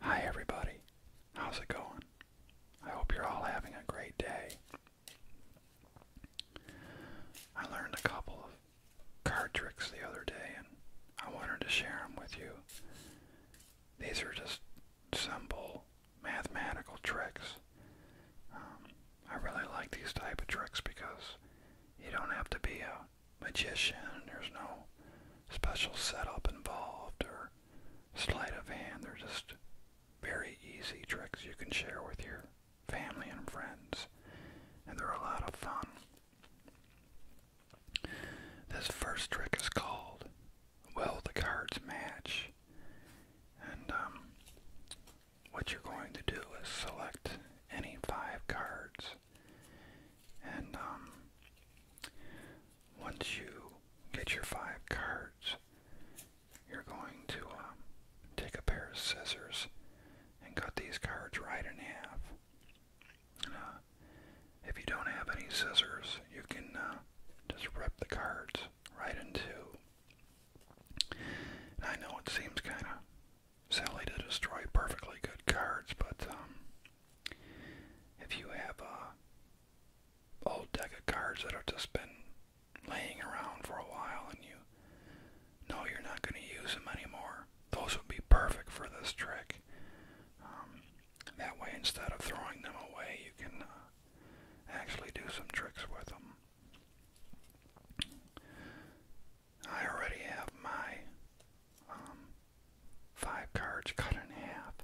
Hi everybody, how's it going? I hope you're all having a great day. I learned a couple of card tricks the other day and I wanted to share them with you. These are just simple mathematical tricks. Um, I really like these type of tricks because you don't have to be a magician. There's no special setup involved or sleight of hand. They're just very easy tricks you can share with your family and friends. And they're a lot of fun. This first trick is called Will the Cards Match? And um, what you're going to do is select any five cards. And um, once you get your five cards, you're going to um, take a pair of scissors and cut these cards right in half. Uh, if you don't have any scissors, you can uh, just rip the cards right in two. I know it seems kind of Sally to destroy perfectly good cards, but um, if you have a uh, old deck of cards that have just been laying around for a while and you know you're not going to use them anymore, those would be perfect for this trick. Um, that way, instead of throwing them away, you can uh, actually do some tricks with them. I already have my um, five cards cut in half,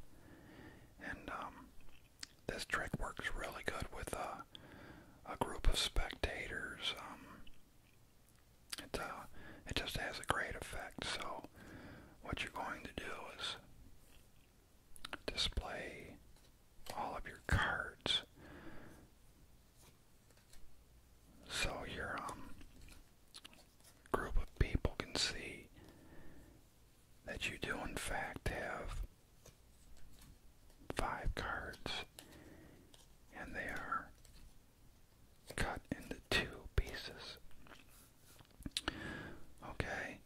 and um, this trick works really good with a, group of spectators. Um, uh, it just has a great effect. So, what you're going to do is display all of your cards so your um, group of people can see that you do in fact have five cards and they are cut into two pieces. Okay,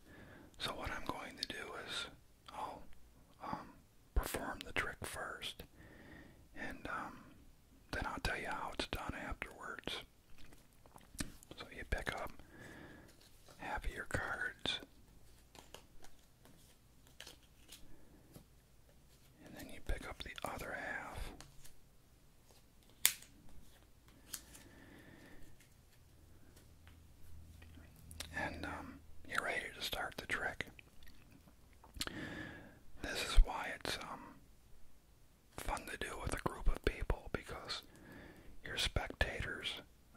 so what I'm going to do is I'll um, perform the trick first, and um, then I'll tell you how it's done afterwards. So you pick up half of your cards, and then you pick up the other half. And um, you're ready to start the trick. This is why it's um, fun to do with a group of people because your spectators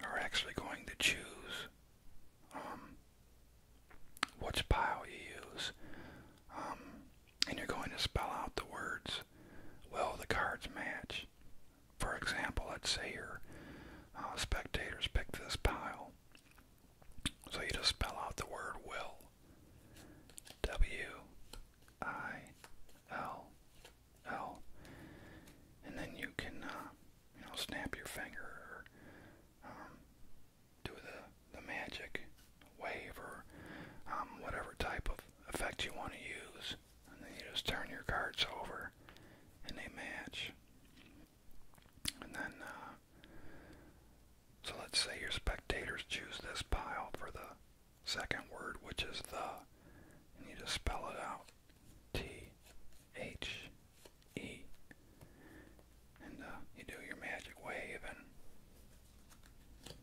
are actually going to choose um, which pile you use, um, and you're going to spell out the words, Well, the cards match? For example, let's say your uh, spectators pick this pile, so you just spell out the word will. W I L L. And then you can, uh, you know, snap your finger or um, do the, the magic wave or um, whatever type of effect you want to use. And then you just turn your cards over and they match. And then, uh, so let's say your spectators choose this pile for the second word, which is the, and you just spell it out. T-H-E. And uh, you do your magic wave and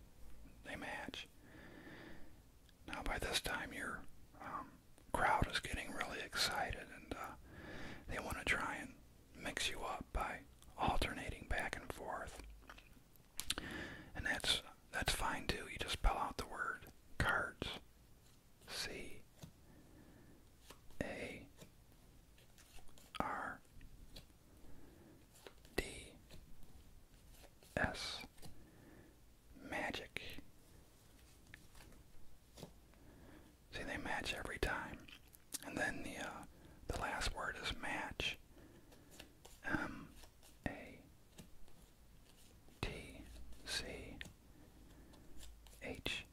they match. Now by this time you're um, crowd is getting really excited and uh, they want to try and mix you up by alternating back and forth. And that's that's fine too. You just spell out the word cards. C A R D S Magic See, they match every time. And then the uh, the last word is match. M A T C H.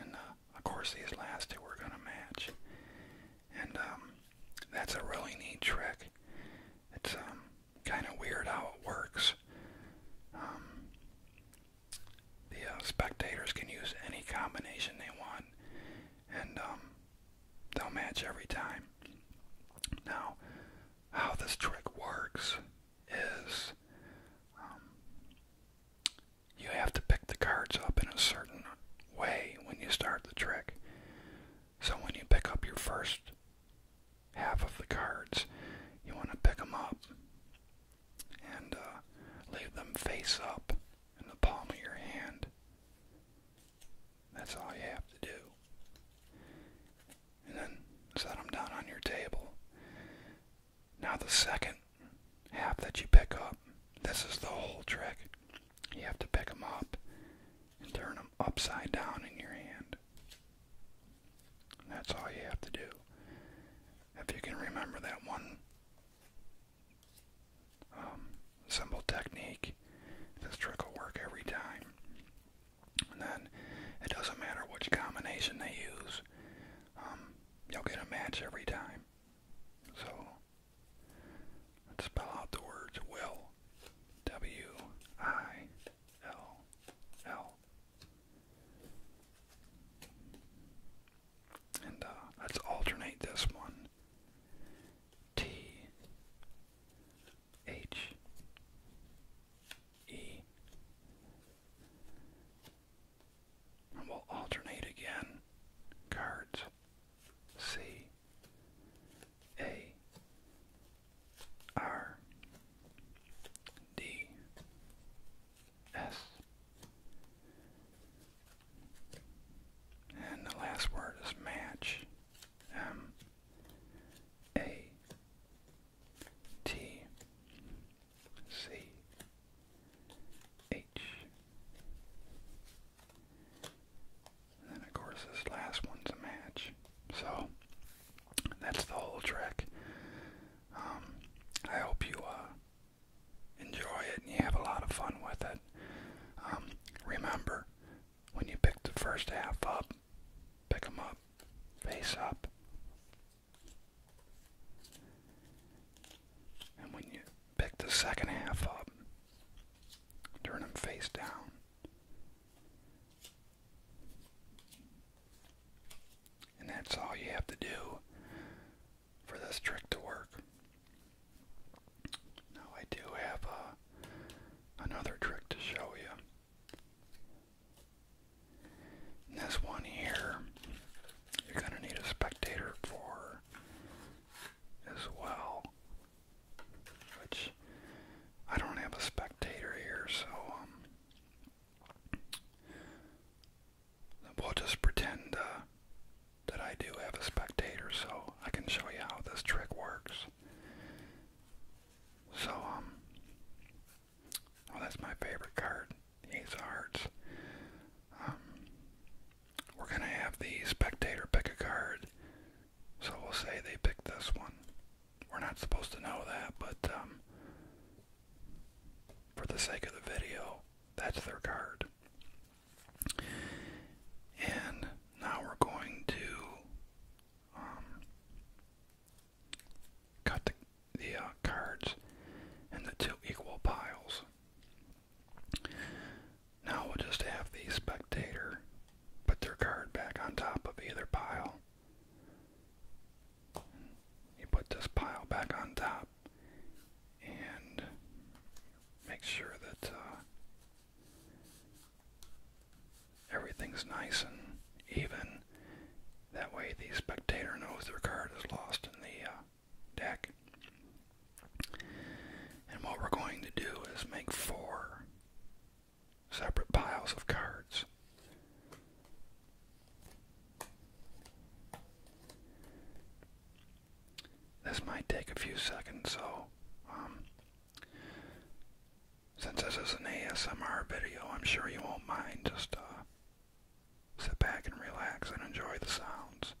And uh, of course, these last two are gonna match. And um, that's a really neat trick. It's um, kind of weird how it works. Um, the uh, spectators can use any combination they want, and um, they'll match every time. Now, how this trick works is um, you have to pick the cards up in a certain way when you start the trick. So when you pick up your first half of the cards. You want to pick them up and uh, leave them face up in the palm of your hand. That's all you have to do. And then set them down on your table. Now the second half that you pick up, this is the whole trick. You have to pick them up and turn them upside down in your hand. That's all you have to do. If you can remember that one um, symbol technique, this trick will work every time. And then it doesn't matter which combination they use, um, you'll get a match every time. So spell out the words will. W I L, L. And uh, let's alternate this one. T, H, E. And we'll alternate again. Cards. C, a R D S. And the last word is match. M A T C H and of course this last one's a match. So that's the whole trick. Um, I hope you uh, enjoy it and you have a lot of fun with it. Um, remember, when you pick the first half up, pick them up, face up. And when you pick the second half up, turn them face down. And that's all you have to do for this trick to work. Now I do have uh, another trick to show you. this one here, you're going to need a spectator for as well. Which I don't have a spectator here, so um, we'll just pretend uh, that I do have a spectator, so I can show you how this trick works. So well um, oh, that's my favorite card, Ace of Hearts. Um, we're gonna have the spectator pick a card so we'll say they picked this one. We're not supposed to know that, but um, for the sake of the video, that's their card. And now we're going to um, cut the, the uh, cards into two equal piles. Now we'll just have the spectator put their card back on top of either pile. You put this pile back on top and make sure that uh, everything's nice and even. That way the spectator knows their card is lost in the uh, deck. And what we're going to do is make four separate piles of cards. This might take a few seconds, so um, since this is an ASMR video, I'm sure you won't mind. Just uh, sit back and relax and enjoy the sounds.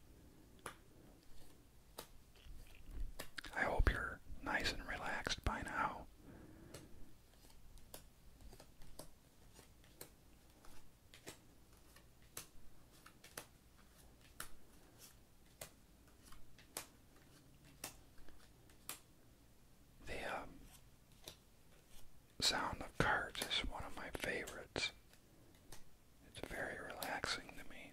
I hope you're nice and relaxed by now. The um, sound of cards is one of my favorites. It's very relaxing to me.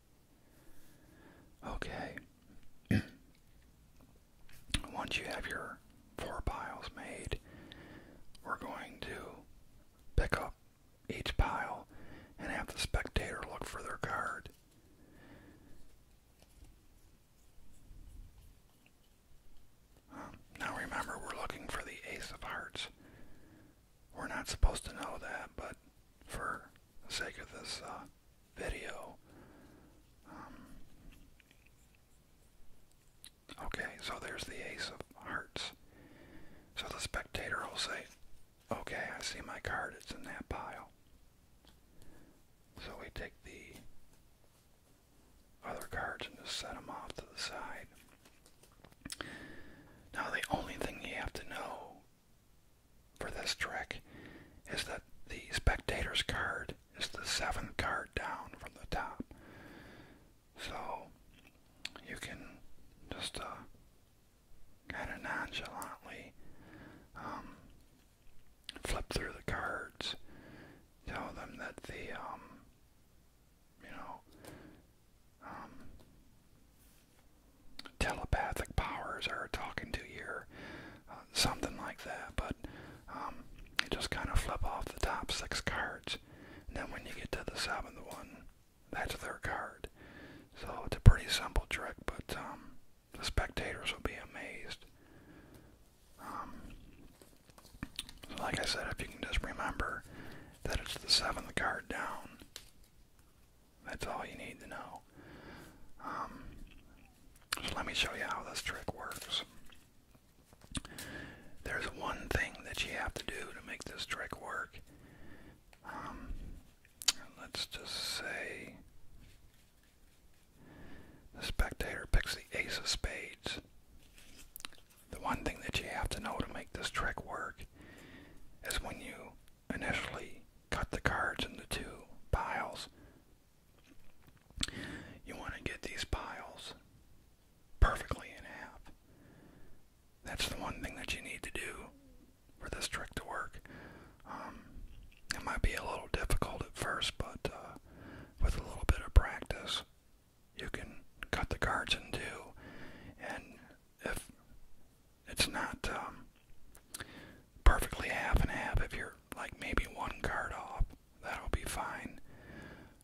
Okay. Once you have your four piles made, we're going to pick up each pile and have the spectator look for their card. Now remember, we're looking for the Ace of Hearts. We're not supposed to know that, but for the sake of this uh, video, um, okay, so there's the ace of hearts. So the spectator will say, okay, I see my card, it's in that pile. So we take the other cards and just set them off to the side. Now the only thing you have to know for this trick is that the spectator's card is the seventh card down from the top. So you can just uh, kind of nonchalantly um, flip through the cards, tell them that the, um, you know, um, telepathic powers or talking to you, uh, something like that. But um, just kind of flip off the top six cards, and then when you get to the seventh one, that's their card. So it's a pretty simple trick, but um, the spectators will be amazed. so um, like I said, if you can just remember that it's the seventh card down, that's all you need to know. Um, so let me show you how this trick works. There's one thing that you have to do to make this trick work. Um, let's just say the spectator picks the ace of spades. The one thing that you have to know to make this trick work is when you initially cut the cards into two piles. You want to get these piles perfectly in half. That's the one thing that you need to do for this trick to work. Um, it might be a little difficult at first, but uh, with a little bit of practice, you can cut the cards in two. And if it's not um, perfectly half and half. If you're like maybe one card off, that'll be fine.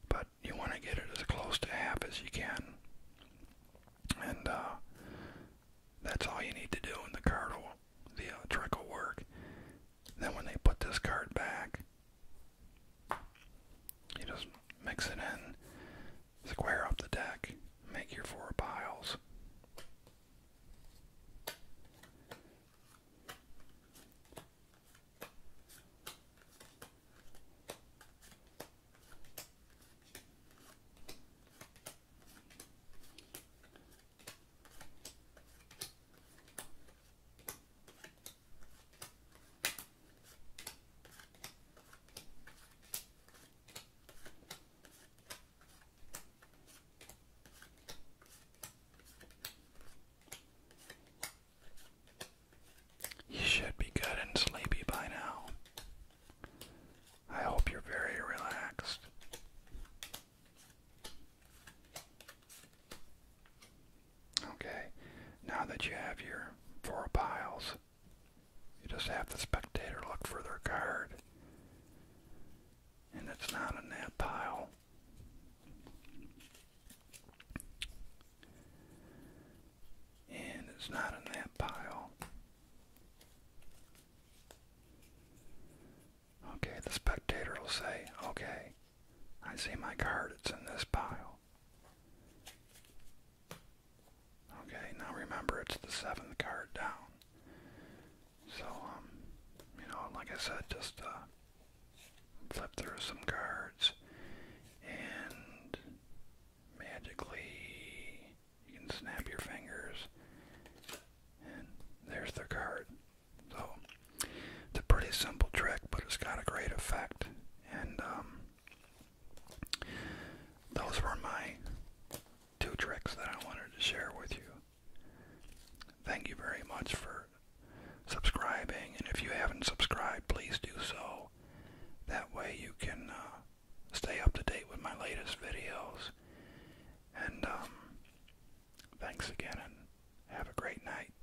But you want to get it as close to half as you can, and uh, that's all you need to do. in the card the trick will work. Then when they put this card back, you just mix it in, Square up the deck. Make your four piles. You should be good and sleepy by now. I hope you're very relaxed. Okay, now that you have your four piles, you just have the spectator look for their card. And it's not in that pile. And it's not in that pile. Okay, the spectator will say, okay, I see my card, it's in this pile. Okay, now remember it's the seventh card down. So, um, you know, like I said, just uh, flip through some cards and magically you can snap your fingers and there's the card. So, it's a pretty simple trick, but it's got a great effect. And um, those were my two tricks that I wanted to share with you. Thank you very much for subscribing, and if you haven't subscribed, please do so. That way you can uh, stay up to date with my latest videos. And um, thanks again, and have a great night.